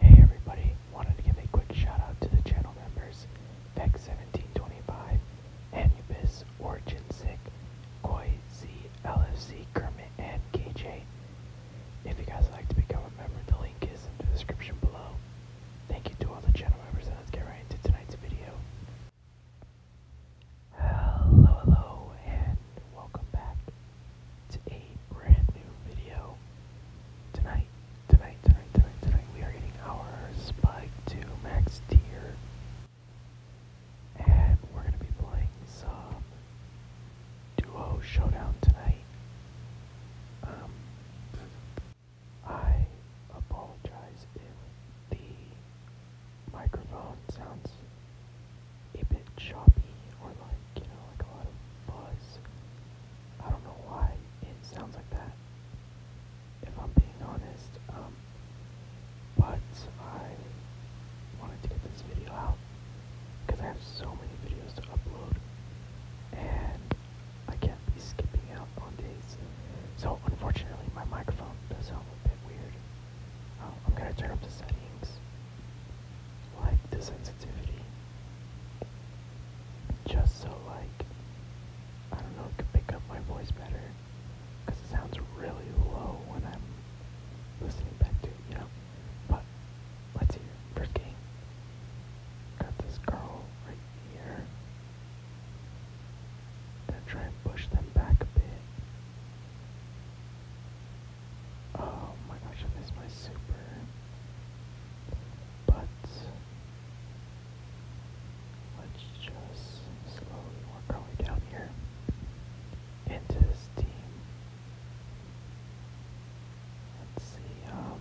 Hey everybody, wanted to give a quick shout out to the channel members Vex1725, Anubis, OriginSick, Sick, Z, LFC, Kermit, and KJ. If you guys would like to become a member, the link is in the description below. Thank you to all the channel members and let's get right into tonight's video. Hello, hello, and welcome back to a brand new video. Tonight, tonight, tonight, tonight, tonight, we are getting our Spike to Max tier. And we're going to be playing some Duo Showdown tonight. Um, I apologize if the microphone sounds a bit choppy or like, you know, like a lot of buzz. I don't know why it sounds like that, if I'm being honest. Um, but I wanted to get this video out because I have so many videos to upload and I can't be skipping out on days. So unfortunately my microphone does sound a bit weird. Um, I'm gonna turn up the settings like the sensitivity. Just so like, I don't know, it can pick up my voice better. Because it sounds really low when I'm listening back to you know? But, let's hear it. First game. Got this girl right here. Gonna try and push them back a bit. Oh my gosh, I missed my super. But let's just slowly work our way down here into this team. Let's see, um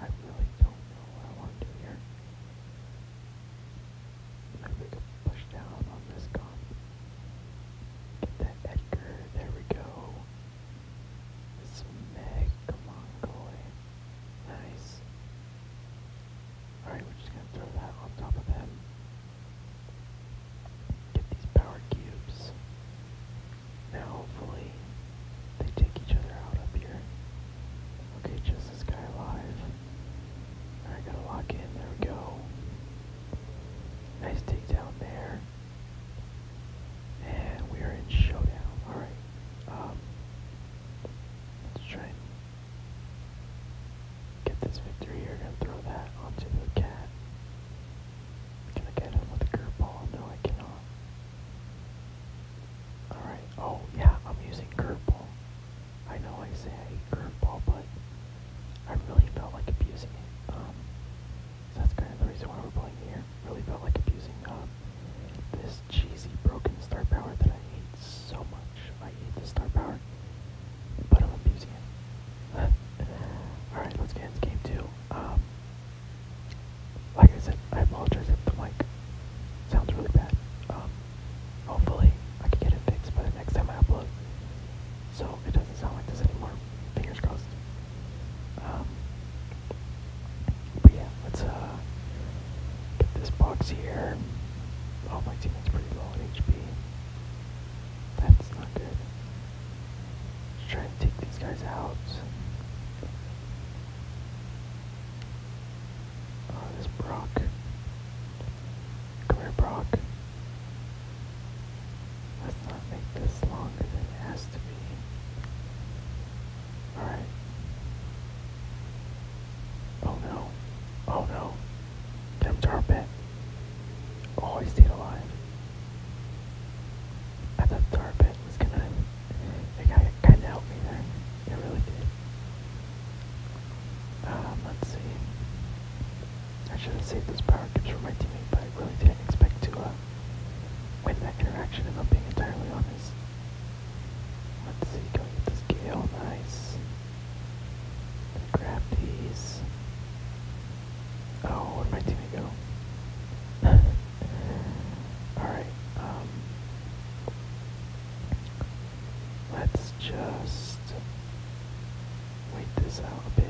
I really don't know what I want to do here. I'm going push down on this gun. Get that Edgar, there we go. This Meg, come on, Goy. Nice. Alright, we're just gonna throw that on top of them. Get these power cubes. Now hopefully they take each other out up here. Okay, just this guy alive. Alright, gotta lock in. There we go. Nice takedown there. And we are in showdown. Alright. Um, let's try get this victory here. Gonna throw that onto the cat. Can I get him with a curveball? No, I cannot. Alright. Oh, yeah, I'm using curveball. I know I say I hate curveball, but I really felt like abusing it. Um, so that's kind of the reason why we're playing here. Really felt like abusing uh, this cheesy broken star power that I hate so much. I hate the star power, but I'm abusing it. Alright, let's get into game two. Um, like I said, I apologize if the mic sounds really bad. Um, Hopefully, I can get it fixed by the next time I upload. So it doesn't sound like this anymore. Fingers crossed. Um, but yeah, let's uh, get this box here. Oh, my teammate's pretty low on HP. That's not good. Let's try and take these guys out. Oh, this Brock. Come here, Brock. Let's not make this longer than it has to be. Alright. Oh no. Oh no. Get him to our pit. Oh, he stayed alive. I thought tar pit was gonna it kind of helped me there. It really did. Um, let's see. I should not saved those power tips for my teammate, but I really didn't expect to uh, win that interaction, if I'm being entirely honest. Let's see, go get this gale, nice. Grab these. Oh, where'd my teammate go? Alright, um, Let's just wait this out a bit.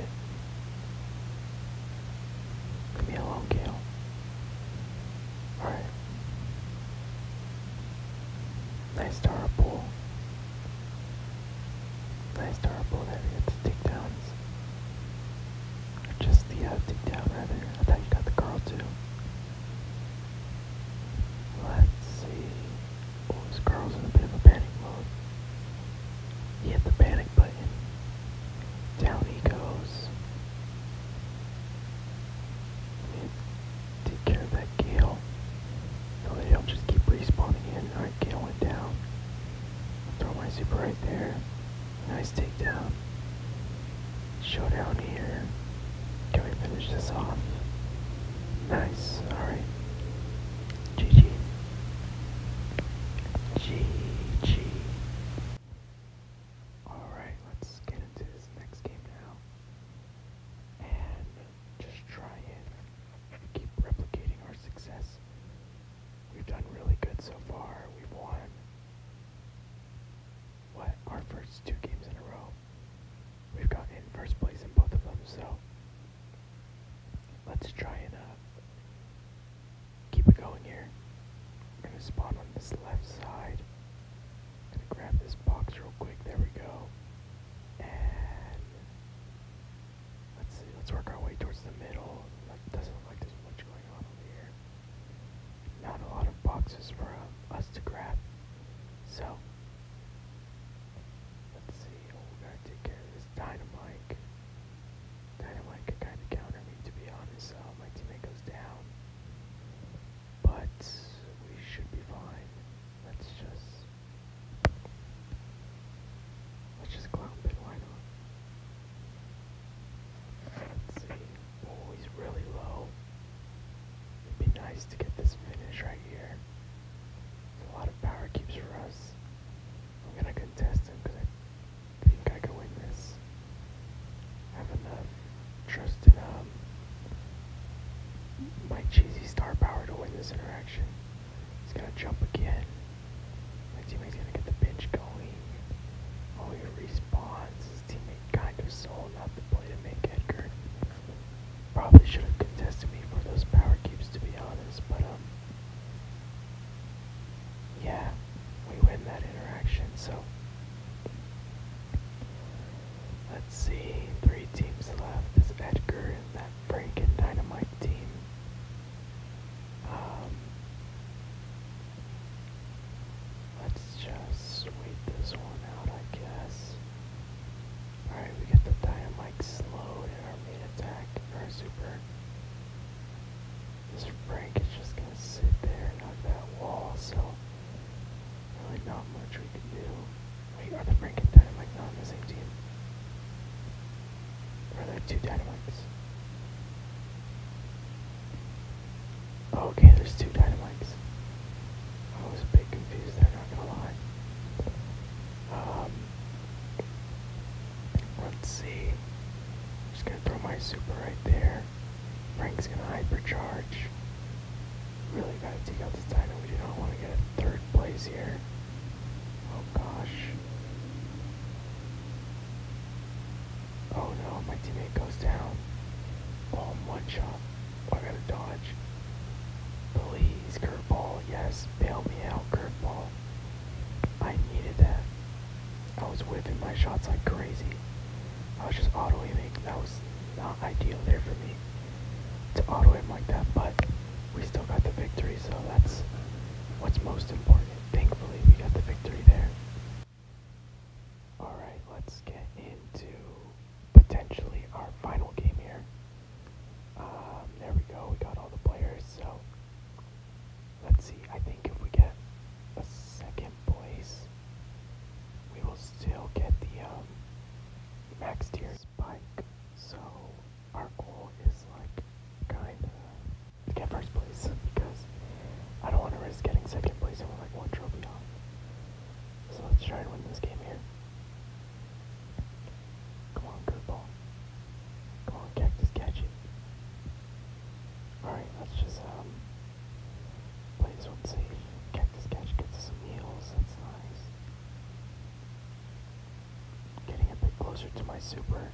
Leave me alone, Gale. Alright. Nice Tara Nice Tara pull that we get to take downs just the deep down rather. I thought you got the girl too. Let's see. Oh, this girl's in a bit of a panic mode. hit the panic button. Down he goes. take care of that Gale. No, they don't just keep respawning in. Alright, Gale went down. throw my super right there. Nice takedown. Showdown here. Can we finish this off? Nice. Alright. GG. GG. Alright, let's get into this next game now. And just try and keep replicating our success. We've done really good so far. We've won what our first two games in a row. We've gotten first place in both of them, so let's try and uh, keep it going here. I'm gonna spawn on this left side. gonna grab this box real quick. There we go. And let's see. Let's work our way towards the middle. Like, doesn't look like there's much going on over here not a lot of boxes for uh, us to grab. So, let's see. Oh, we gotta take care of this Dynamite. Dynamite could kind of counter me, to be honest. Uh, my teammate goes down. But, we should be fine. Let's just... Let's just clown pit, why not? Let's see. Oh, he's really low. It'd be nice to get this finish right here. There's a lot of power keeps for us. I'm gonna contest him because I think I can win this. I have enough trust in um, my cheesy star power to win this interaction. He's gonna jump again. My teammate's gonna get the bitch going. Oh, he respawns. His teammate kind of sold out the play to make Edgar. Probably should have contested me for those power keeps, to be honest, but, um, yeah, we win that interaction, so. Let's see, three teams left. Is Edgar and that Frank Dynamite team. Um, let's just sweep this one out, I guess. Alright, we get the Dynamite slowed in our main attack, our super. This Frank is just gonna sit there and hug that wall, so really not much we can do. Wait, are the Frank and Dynamite not on the same team? Are there two dynamites? Oh, okay, there's two dynamites. I was a bit confused there, not gonna lie. Um, let's see. I'm just gonna throw my super right there. Frank's gonna hypercharge. Really gotta take out this dino. We do not want to get a third place here. Oh gosh. Oh no, my teammate goes down. Oh, one shot. Oh, I gotta dodge. Please, curveball. Yes, bail me out, curveball. I needed that. I was whiffing my shots like crazy. I was just autoing aiming. That was not ideal there for me to auto aim like that, but we still got the victory, so that's what's most important. Thankfully, we got the victory there. Alright, let's get into potentially our final game here. Um, there we go, we got all the players, so let's see. I think if we get a second place, we will still get the um, max tier spike. So our goal is like kinda to get first place because I don't want to risk getting second place and we're like one trophy off. So let's try and win this game here. Come on, good Come on, cactus, catch it. Alright, let's just um play this one safe. Cactus catch gets some heals, that's nice. Getting a bit closer to my super.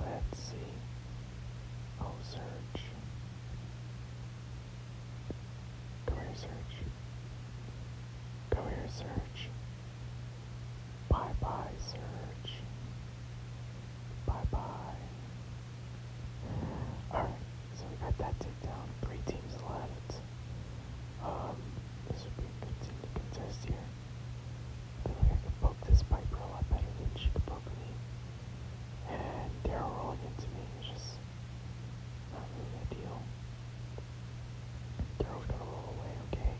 Let's see. Oh, search. Go here, search. Go here, search. Bye bye, Surge. Bye bye. Alright. So we got that taken down. Three teams left. Um, this would be a good to contest here. I feel like I could poke this Piper a lot better than she could poke me. And Daryl rolling into me is just not really ideal. Daryl's gonna roll away, okay?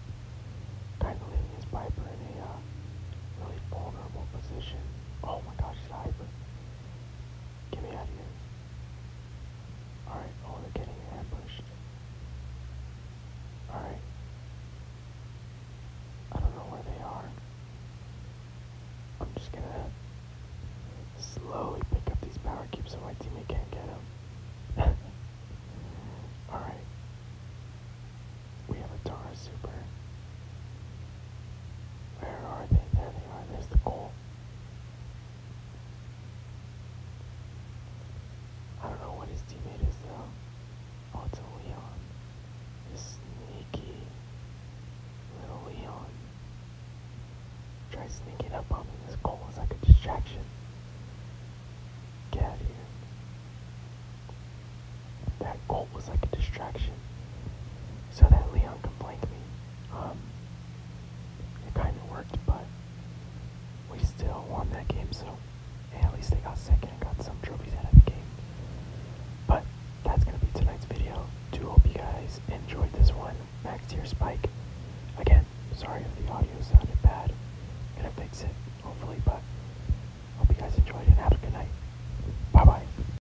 Kind of leaving his Piper in a uh, really vulnerable position. Oh my gosh, he's hyper. Get me out of here. Alright, oh, they're getting ambushed. Alright. I don't know where they are. I'm just gonna slowly pick up these power cubes so my teammate can't get them. Alright. We have a Tara Super. Where are they? There they are. There's the goal. I don't know what his teammate is though. Oh, it's a Leon. This sneaky little Leon. Try sneaking up on me. This goal is like a distraction. Get out of here. That goal was like a distraction. So that Leon can me. Um, it kind of worked, but we still won that game, so at least they got second and got some trophies out of the game. But that's going to be tonight's video. Do hope you guys enjoyed this one. Max tier spike. Again, sorry if the audio sounded bad. going to fix it, hopefully, but hope you guys enjoyed it and have a good night. Bye-bye.